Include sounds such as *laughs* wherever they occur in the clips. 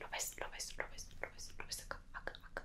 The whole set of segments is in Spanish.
Lo ves, lo ves, lo ves, lo ves, lo ves acá, acá, acá,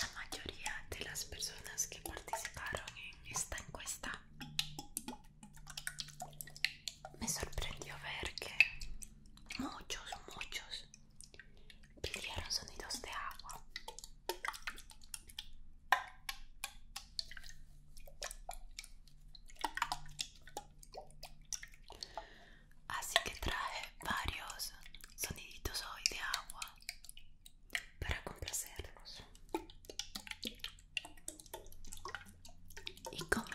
la mayoría de las personas que participaron en esta encuesta me sorprendió ver que muchos, muchos pidieron sonidos de agua. Así que traje varios sonidos hoy de agua para complacerlos ¿Y cómo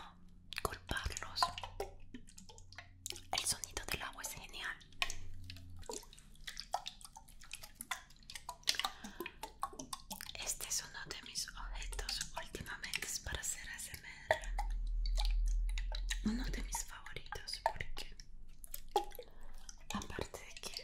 culparlos? El sonido del agua es genial. Este es uno de mis objetos últimamente para hacer ASMR. Uno de mis favoritos porque aparte de que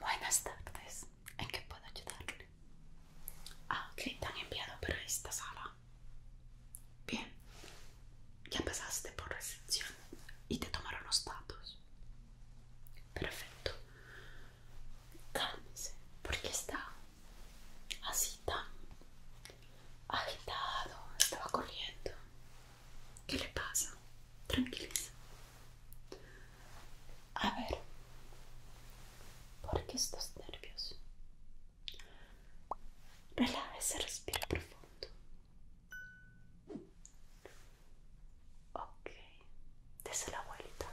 Buenas tardes, ¿en qué puedo ayudarle? Ah, ok, han enviado para esta sala. Bien, ya pasaste por recepción y te tomaron los datos. Perfecto. ¿por porque está así tan agitado estaba corriendo ¿qué le pasa? tranquiliza a ver ¿por qué estás nervioso? relájese respira profundo ok desde la vuelta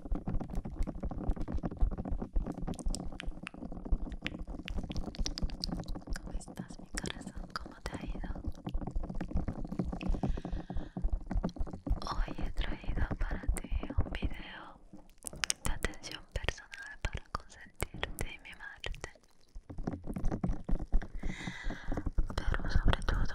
¿Cómo estás, mi corazón? ¿Cómo te ha ido? Hoy he traído para ti un video de atención personal para consentirte y mimarte. Pero sobre todo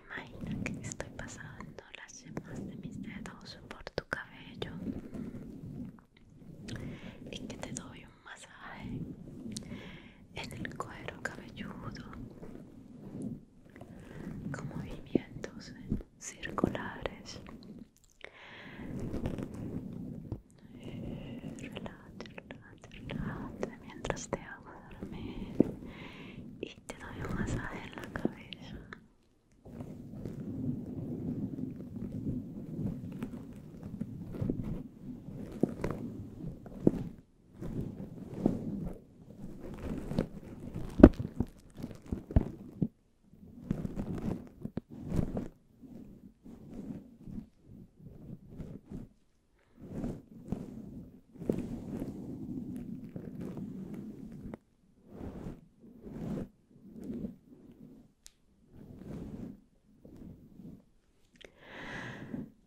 Imagina que estoy pasando las yemas de mis dedos por tu cabello y que te doy un masaje en el cuero cabelludo con movimientos circulares Relájate, relájate, relájate mientras te hago dormir y te doy un masaje en la cabeza.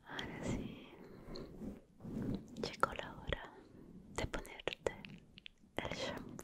Ahora sí, llegó la hora de ponerte el champú.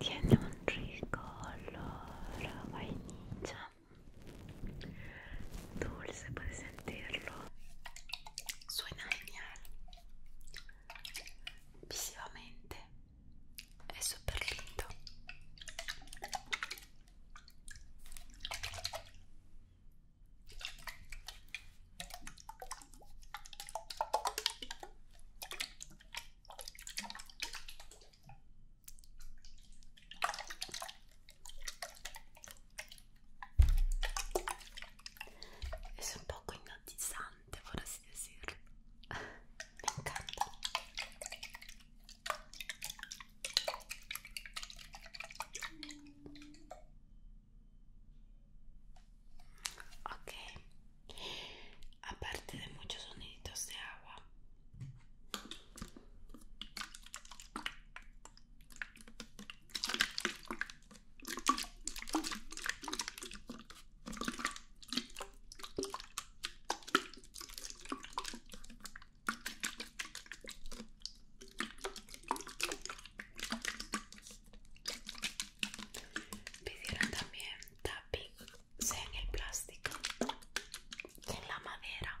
Tiene un rico olor vainilla. Dulce, puedes sentirlo. Suena genial. Visivamente. è super lindo e sono un po' cognatizzante te por así decirlo. *laughs* Me encanta. Ok, aparte de muchos sonidos de agua, Pidieron también tapping, sea en el plástico, en la madera.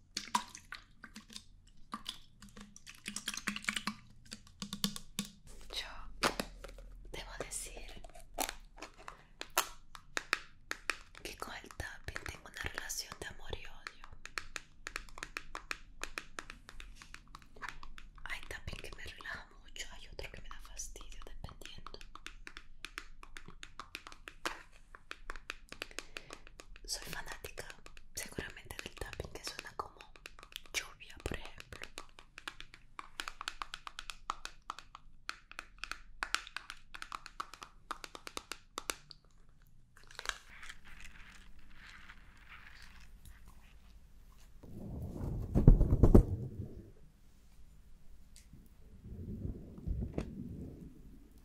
Yo debo decir que con el tapping tengo una relación de amor y odio. Hay tapping que me relaja mucho, hay otro que me da fastidio dependiendo. Soy fanática seguramente del tapping que suena como lluvia, por ejemplo.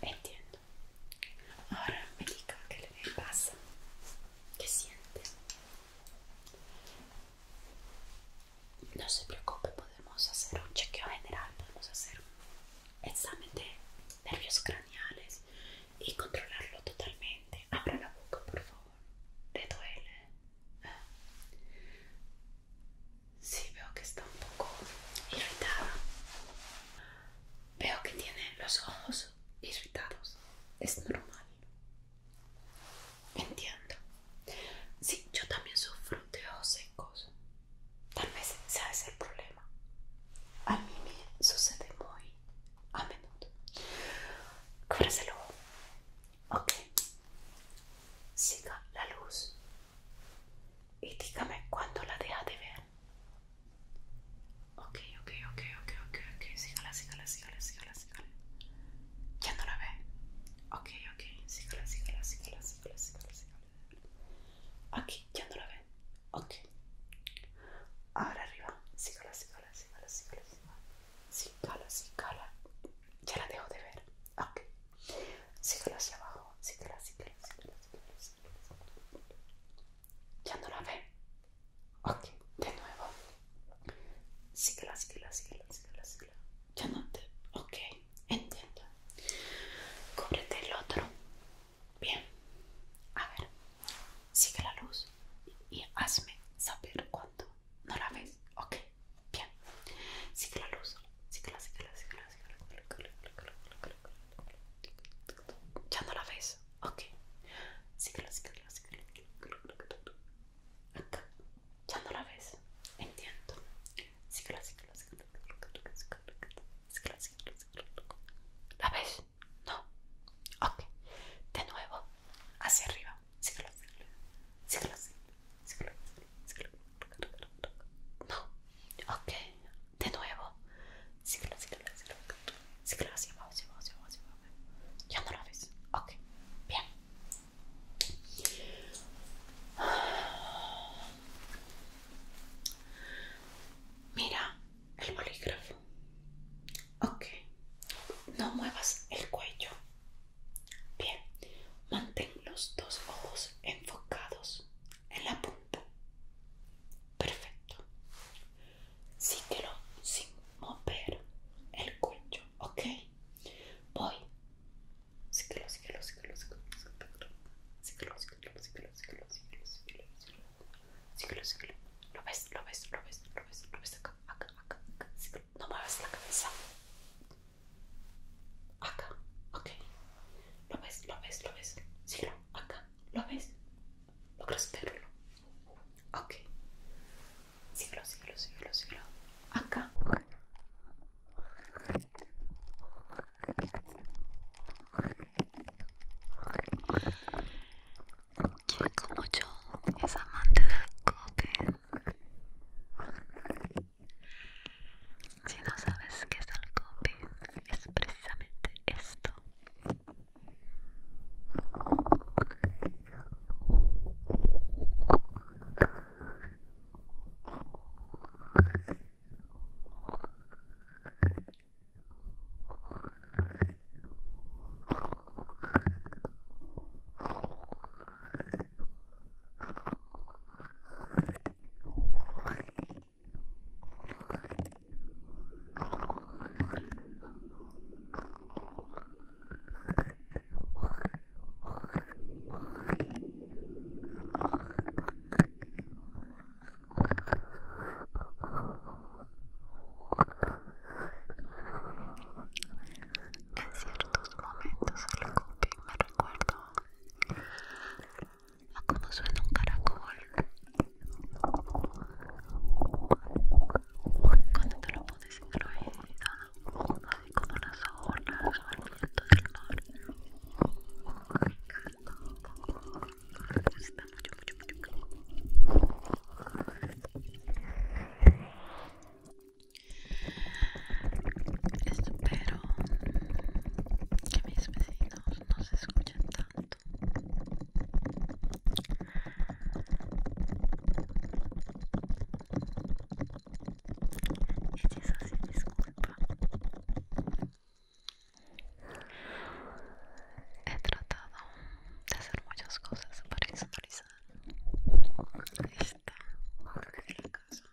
Entiendo. Ahora me diga qué le pasa, qué siente. No se preocupe, podemos hacer un chequeo general, podemos hacer un examen de nervios craneales y controlarlo totalmente. Abra la boca, por favor. ¿Te duele? ¿Eh? Sí, veo que está un poco irritada. Veo que tiene los ojos irritados. Es normal. Entiendo. Sí, yo también sufro de ojos secos. Tal vez sea ese el problema. A mí me sucede muy a menudo. ojo Ok. Siga la luz y dígame cuándo la deja de ver. Ok, ok, Ya no la ve. Ok, ok, Aquí, ya no la ve. Ok. Ahora arriba, Ya la dejo de ver. Ok, Síguelo hacia abajo, Ya no la ve. Ok, de nuevo. Síguela, síguela, síguela, Ya no te... Ok, entiendo. Cúbrete el otro. Bien. A ver, sigue la luz y hazme saber cuando no la ves. Ok, Bien. Sigue la luz. Sigue la, Ya no la ves. Sigue la, Acá. Ya no la ves. Entiendo. Sigue la, sigue la, la. ves? No. Ok. De nuevo. Hacia arriba. No, ok, de nuevo. Ciclo, ciclo, ciclo. hacia abajo, hacia abajo, Ya no lo ves. Ok, bien. Mira el bolígrafo. Ok, no muevas el cuello. Bien, mantén los dos ojos enfocados en la punta. Perfecto. sin mover el cuello, ¿ok? Voy. Lo ves, lo ves, lo ves, lo ves, lo ves acá, acá, acá, No muevas la cabeza acá, ok. ¿Lo ves? ¿Lo ves? ¿Lo ves? Sí, lo, acá, ¿lo ves? ¿Logras lo. Ok. Síguelo, síguelo, síguelo, síguelo. Acá. ¿Quién como yo es amante del coque? Si no sabes qué es el es precisamente esto. En ciertos momentos el coping me recuerdo a cómo suena un caracol cuando te lo pones incluido, así como las olas o el viento del mar. Espero que mis vecinos no se escuchen tanto. Y si es así, disculpa. He tratado de hacer muchas cosas para exteriorizar esta la casa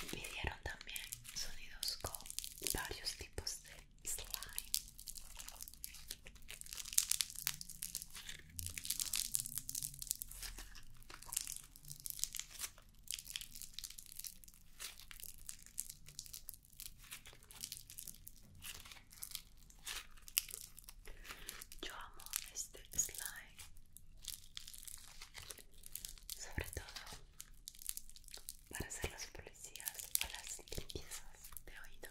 Pidieron también sonidos con varios tipos de slime. Yo amo este slime, sobre todo para hacer las policías o las limpiezas de oído.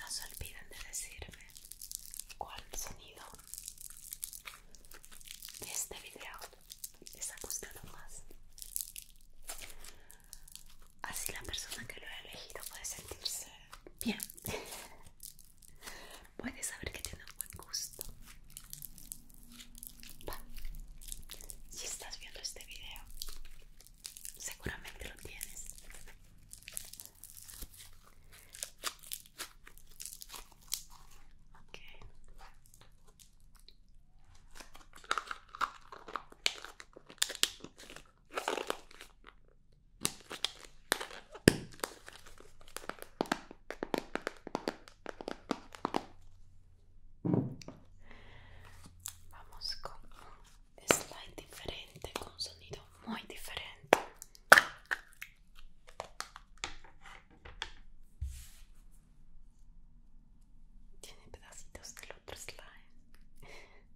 No se olviden de decirme cuál sonido de este video les ha gustado más. Así la persona que lo ha elegido puede sentirse bien. Puede saber que tiene un buen gusto. Si estás viendo este video, seguramente lo tienes. Okay. Vamos con un slide diferente, con sonido muy diferente. Tiene pedacitos del otro slide. *laughs*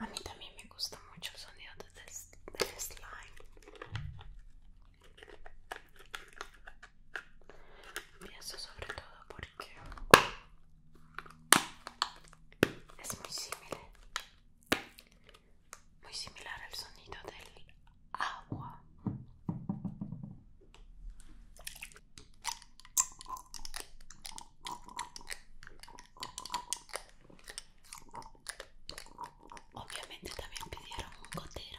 A mí también me gusta mucho el sonido de slime. Y eso sobre todo porque es muy similar, muy similar al sonido del agua. Obviamente también pidieron un gotero.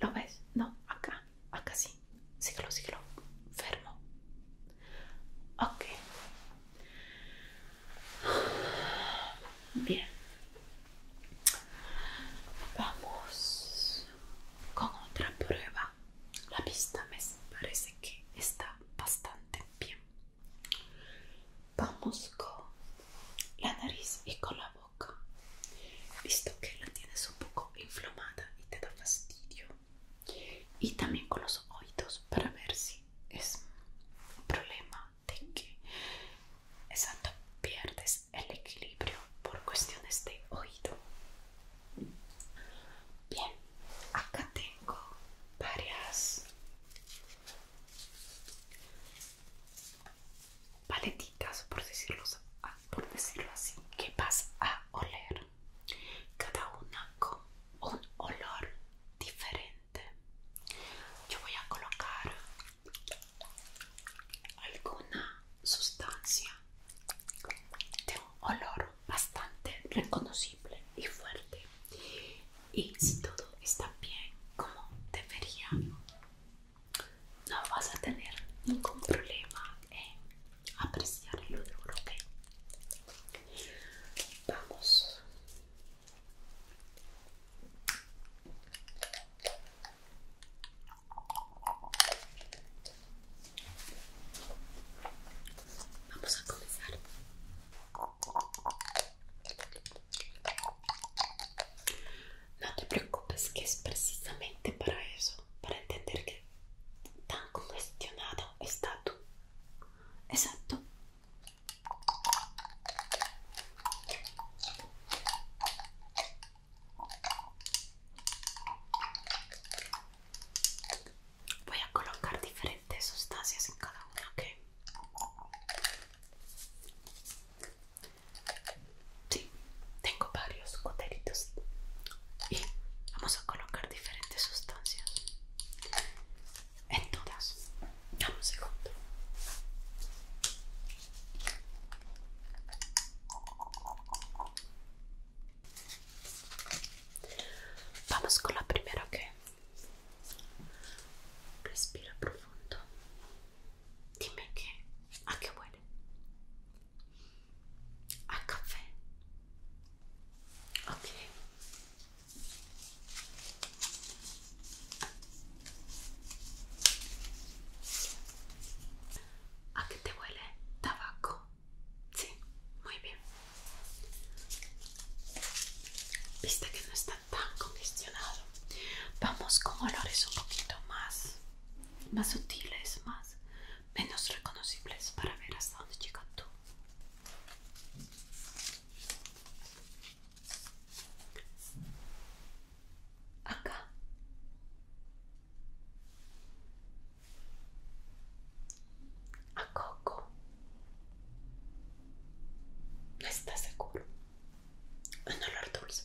¿Lo ves? No, acá, acá sí. siglo siglo Fermo. Ok, Bien. Vamos con otra prueba. La pista me parece que está bastante bien. Vamos con la nariz y con la boca. Visto que la tienes un poco inflamada y te da fastidio. Y también con los oídos para ver si es un problema de que exacto pierdes el equilibrio por cuestiones de oído bien acá tengo varias paletitas por decirlo, ah, por decirlo así que vas a oler cada una con un olor diferente yo voy a colocar alguna sustancia de un olor bastante reconocible y fuerte y si todo está bien como debería no vas a tener ningún problema en apreciar el olor ¿ok? vamos Vamos a comenzar. No te preocupes que es precisamente para eso, para entender que tan congestionado está tú. Exacto, Voy a colocar diferentes sustancias en cada una, ¿ok? Sí, tengo varios goteritos y vamos a colocar diferentes sustancias en todas. Dame segundo. Vamos con la primera que respira profundo. Dime ¿qué? a qué huele. A café. Ok. ¿A qué te huele? Tabaco. Sí, muy bien. Viste que no está tan congestionado. Vamos con olores un poquito más, más sutiles, más menos reconocibles para ver hasta dónde llega tú acá a Coco no está seguro un olor dulce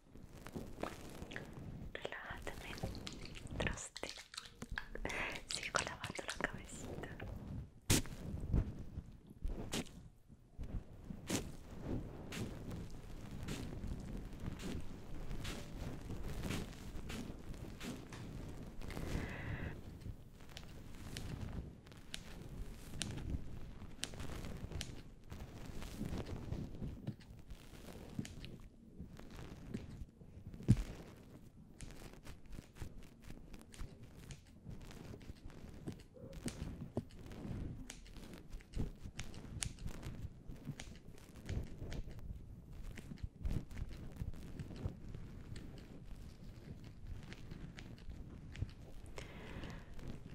Relájate, traste. Sigo lavando la cabecita.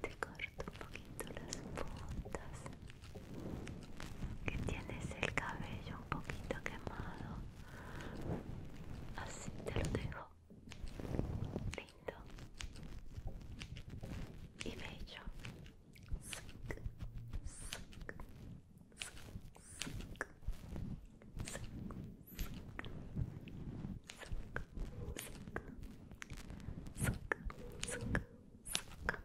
Te corto un poquito las puntas que tienes el cabello un poquito quemado así te lo dejo lindo y bello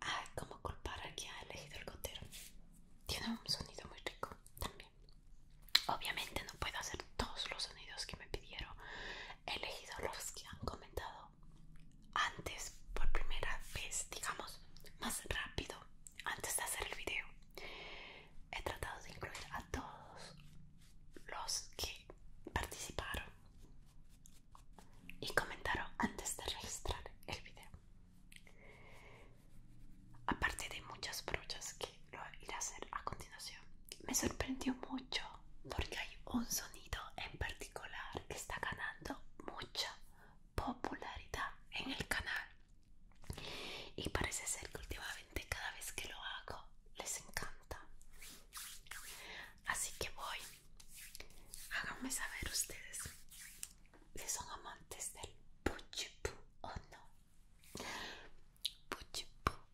Ay, como culpar a quien ha elegido el gotero. Tiene un sonido muy rico también. Obviamente no puedo hacer todos los sonidos que me pidieron. He elegido los que han comentado antes por primera vez digamos más rápido antes de hacer el video he tratado de incluir a todos los que participaron y comentaron antes de registrar el video aparte de muchas brochas que lo iré a hacer a continuación me sorprendió mucho porque hay un sonido en particular que está ganando mucha popularidad en el canal y parece ser que últimamente cada vez que lo hago les encanta así que voy háganme saber ustedes si son amantes del puchipú o no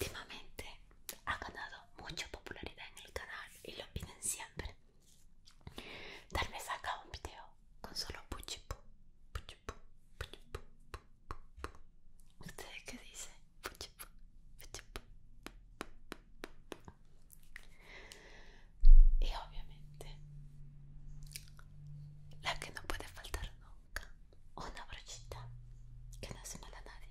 Últimamente ha ganado mucha popularidad en el canal y lo piden siempre. Tal vez haga un video con solo puchipu, ¿Ustedes qué dicen? Y obviamente, la que no puede faltar nunca, una brochita que no se mal a nadie.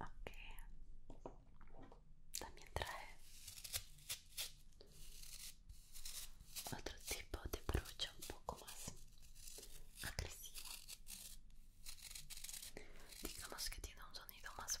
Ok. También trae otro tipo de brocha un poco más agresiva. Digamos que tiene un sonido más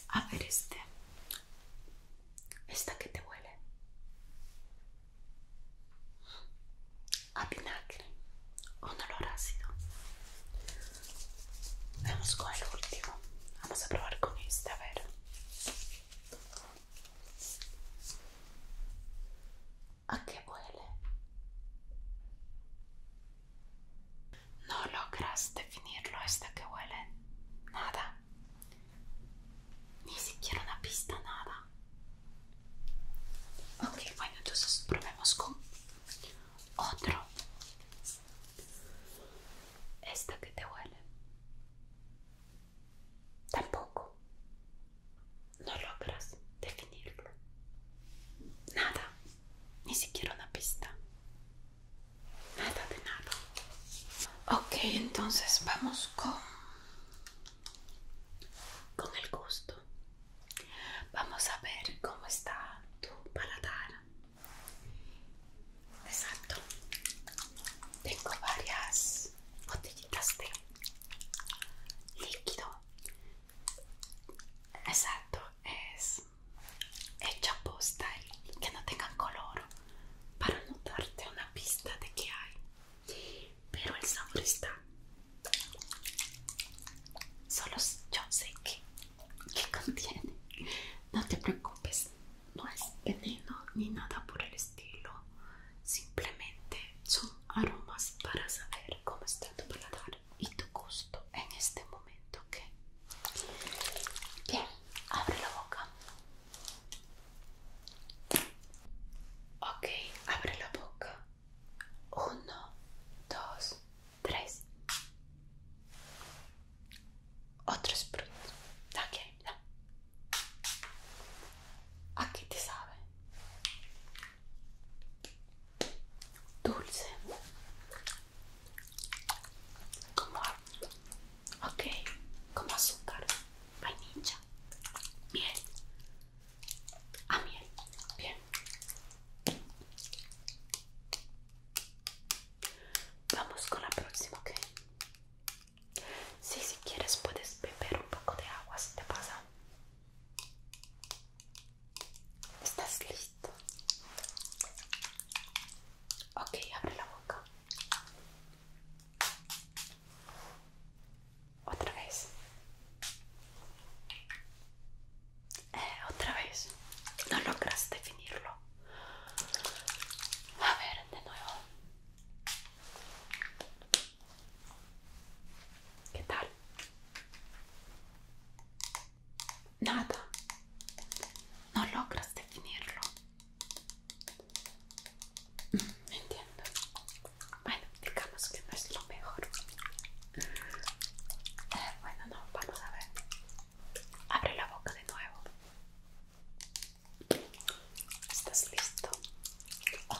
A ver este. Esta que te huele. A vinagre. Un olor ácido. Vamos con el último. Vamos a probar con este, a ver. ¿A qué huele? No logras definirlo esta que huele. Nada. Ni siquiera una pista, nada. Ok, bueno, entonces probemos con otro. Esta que te huele. Tampoco. No logras definirlo. Nada. Ni siquiera una pista. Nada de nada. Ok, entonces vamos con, con el gusto. Vamos a ver cómo está tu paladar. Exacto. Tengo varias botellitas de líquido. Exacto, es hecha posta que no tengan color para no darte una pista de que hay pero el sabor está solo yo sé que, que contiene no te preocupes no es veneno ni nada por el estilo simplemente son aromas para saber cómo está tu paladar y tu gusto en este momento ok bien abre la boca ok abre la boca uno dos tres otro sprut ok no. aquí te sabe dulce como ok como azúcar ninja, miel a ah, miel bien vamos con la próxima ok si si quieres puedes beber un poco de agua si te pasa estás listo? Okay, Ok, abre la boca. Otra vez. Eh, otra vez. No logras definirlo. A ver, de nuevo. ¿Qué tal? nada, no logras definirlo. Mm, entiendo? Bueno, digamos que no es lo mejor. Eh, bueno, no, vamos a ver. Abre la boca de nuevo. ¿Estás listo? Oh.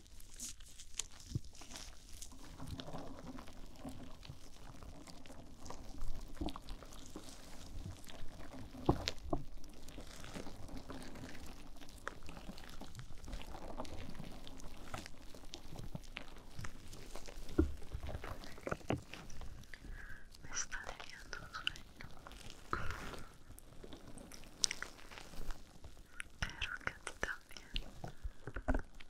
Me está debiendo sueño. Pero que a ti también.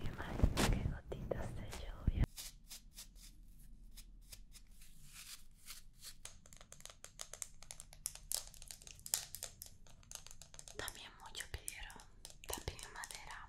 Imagina que gotitas de lluvia. También mucho pidieron también madera.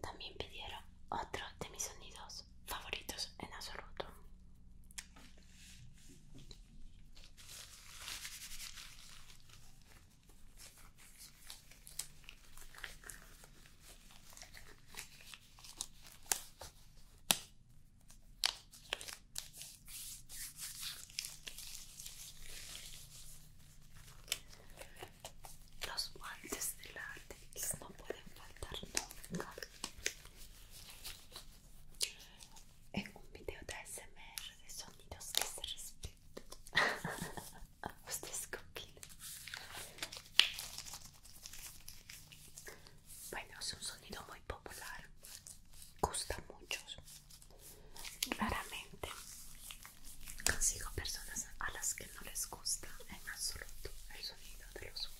También pidieron otro de mis sonidos favoritos en absoluto. Los guantes de arte no pueden faltar nunca en un video de ASMR de sonidos que se respetan. os *laughs* qué Bueno, es un sonido muy popular, gusta mucho muchos. Raramente consigo personas a las que no les gusta en absoluto el sonido de los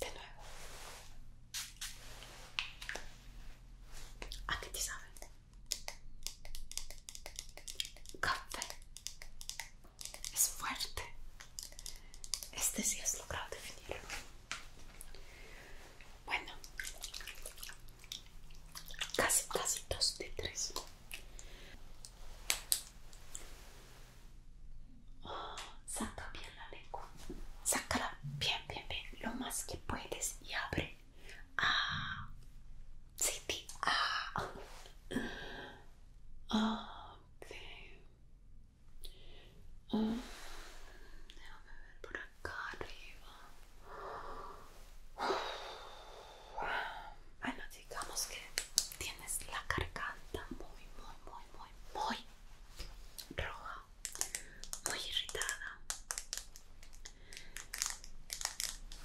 De nuevo. ¿A qué te sabe? Café. Es fuerte. Este sí has logrado definirlo. Bueno. Casi, casi dos de tres saca bien la lengua. Sácala bien, bien, bien. Lo más que puedes y abre. Ah. Sí, sí. Ah. Déjame ver por acá arriba. Bueno, digamos que tienes la garganta muy, muy, muy, muy, muy roja, muy irritada.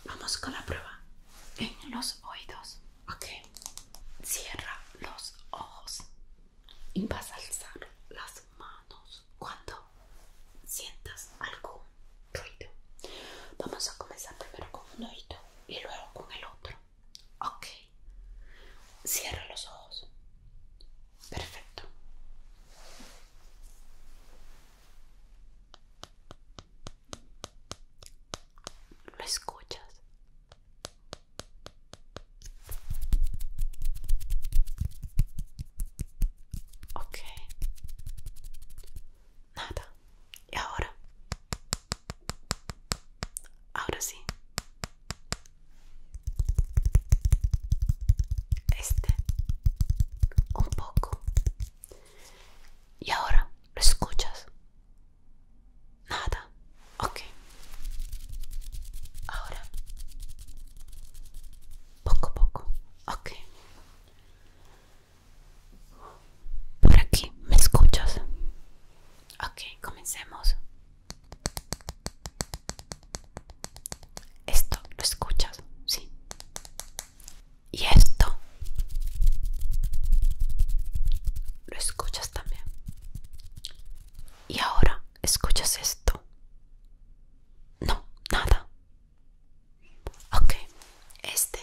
Vamos con la prueba en los oídos. Ok, cierra los ojos y vas a alzar las manos cuando sientas algún ruido. Vamos a comenzar primero con un oído y luego con el otro. Ok. Cierra los ojos. Perfecto. ¿Lo escuchas? Ok nada. Y ahora, ahora sí. Este, un poco. Y ahora, ¿lo escuchas? Nada. Ok. Ahora. Poco a poco. Ok. Por aquí, ¿me escuchas? Ok, comencemos. Esto, ¿lo escuchas? Sí. Y esto. Lo escuchas también. Y ahora, ¿escuchas esto? No, nada. Ok, este.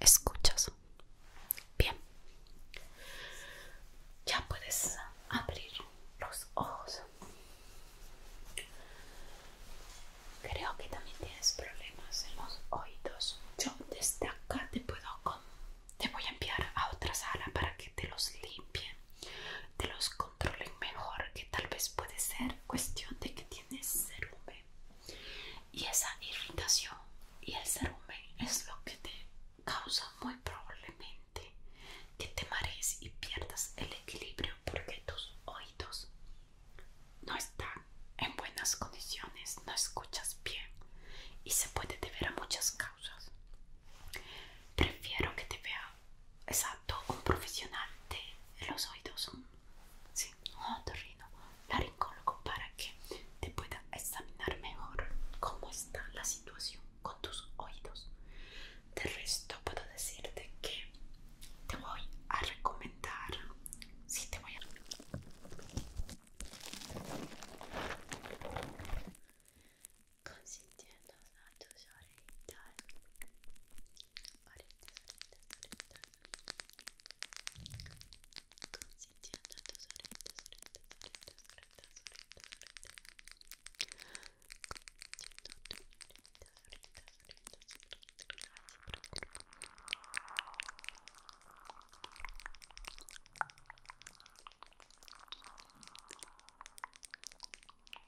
¿Escuchas? Bien. Ya puedes abrir los ojos. Creo que también tienes problemas en los oídos. Yo desde acá te puedo... Te voy a enviar a otra sala para que te los limpie bien, te los controlen mejor, que tal vez puede ser cuestión de que tienes cerumen y esa irritación y el cerumen es lo que te causa muy probablemente que te marees y pierdas el equilibrio porque tus oídos no están en buenas condiciones, no escuchas bien y se puede deber a muchas causas. Prefiero que te vea Exacto, un profesional de los oídos, un, sí, un la para que te pueda examinar mejor cómo está la situación con tus oídos. De resto, puedo decirte que te voy a recomendar, sí, te voy a consintiéndonos a tus orejitas orejitas, orejitas, orejitas consintiendo a tus orejitas, orejitas, orejitas, orejitas, orejitas consintiendo a tus orejitas, orejitas, orejitas, orejitas Así,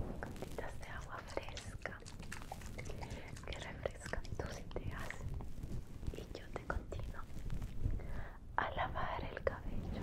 Gotitas de agua fresca que refresca tus ideas y yo te continúo a lavar el cabello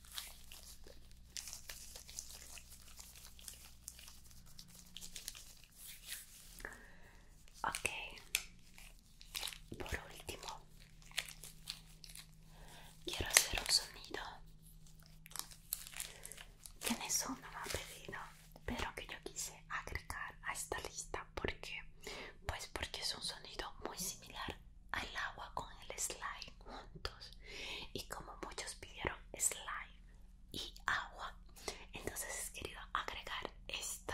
Ok, por último, quiero hacer un sonido que no me ha pedido, pero que yo quise agregar a esta lista porque, pues, porque es un sonido muy similar al agua con el slime juntos y como muchos pidieron slime y agua entonces he querido agregar esto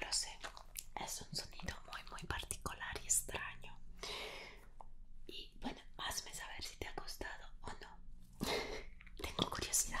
Lo sé, es un sonido muy muy particular y extraño. Y bueno, hazme saber si te ha gustado o no. *laughs* Tengo curiosidad.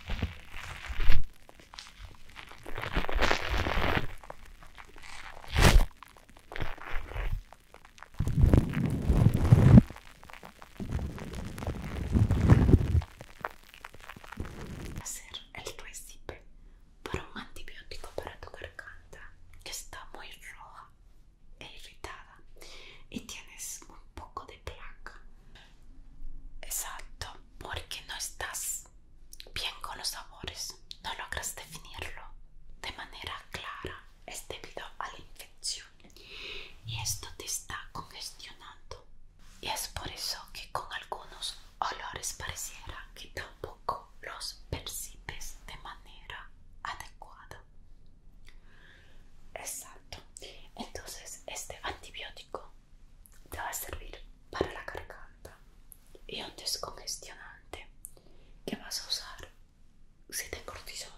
hacer el recipe para un antibiótico para tu garganta que está muy roja e irritada y tienes un poco de placa Exacto, porque no estás bien con los sabores, no logras definirlo de manera clara, es debido a la infección y esto te está congestionando. Y es por eso que con algunos olores pareciera que tampoco los percibes de manera adecuada. Exacto. Entonces, este antibiótico te va a servir para la garganta y un descongestionante que vas a usar si te cortisol,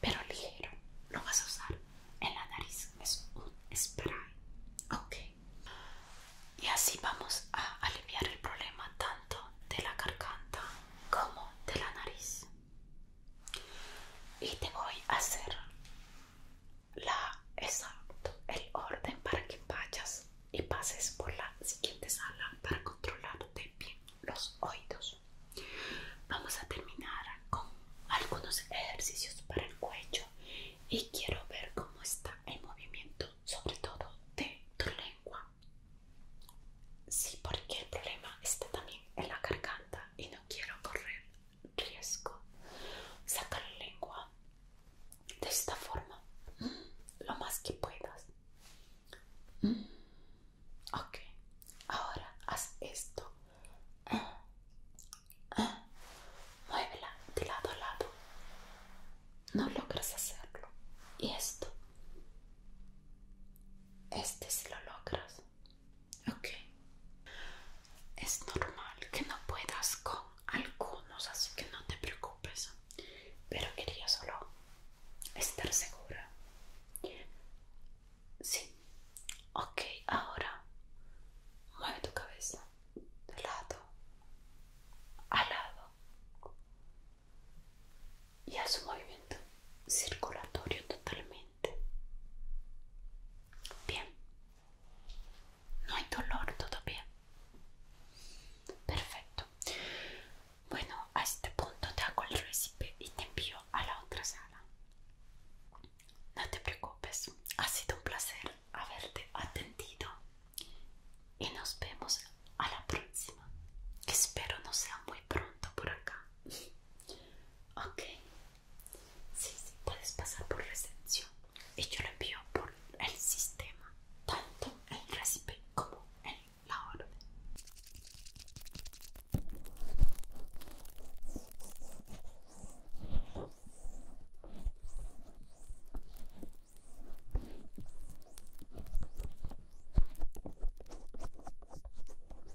pero ligero. Lo vas a usar en la nariz. Es un spray. Ok. Y así vamos a aliviar el problema tanto de la garganta como de la nariz. Y te voy a hacer la, exacto, el orden para que vayas y pases por la siguiente sala para controlarte bien los oídos. Vamos a terminar con algunos ejercicios para el cuello y quiero ver cómo está el movimiento, sobre todo de tu lengua. Sí, porque el problema está también en la garganta y no quiero correr riesgo. Saca la lengua de esta forma, mm, lo más que puedas. Mm. Ok, ahora haz esto. Mm. Muévela de lado a lado. No logras hacerlo. Y esto. Este si lo logras. Ok. Es normal que no puedas con algunos, así que no te preocupes. Pero quería solo estar segura. Sí. Ok, ahora mueve tu cabeza de lado a lado y haz un movimiento circulatorio totalmente. Bien, no hay dolor todo bien Perfecto. Bueno, a este punto te hago el recipe y te envío a la otra sala. No te preocupes, ha sido un placer haberte atendido y nos vemos a la próxima. Espero no sea muy pronto por acá. Ok, Sí, sí, puedes pasar por recepción y yo lo envío por el sistema, tanto el recipe como el, la orden.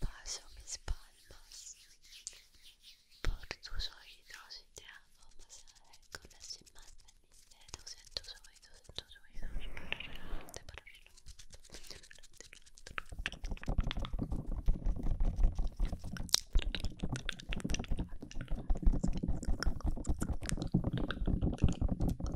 pas mis mes palmes tus oídos y te hago masaje con las cimas de mis dedos en tus oídos, en De oídos,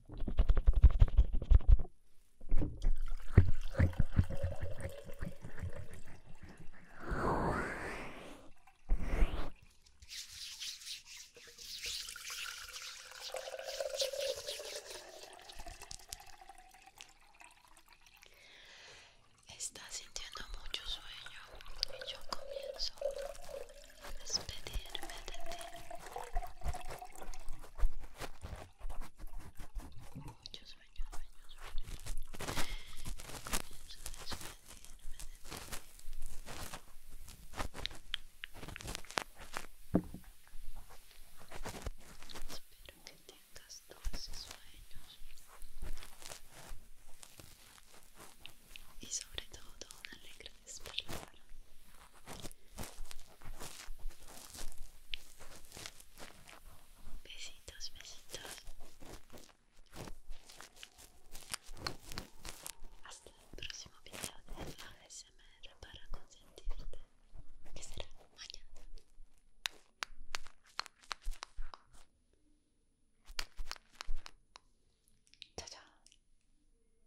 está sintiendo mucho sueño y yo comienzo despedirme de ti. Muchos sueños, sueños, sueños. Comienzo a despedirme de ti. Espero que tengas todos esos sueños y sobre todo una alegre Besitos, besitos. Hasta el próximo video de ASMR para consentirte. Que será mañana. Chao, chao.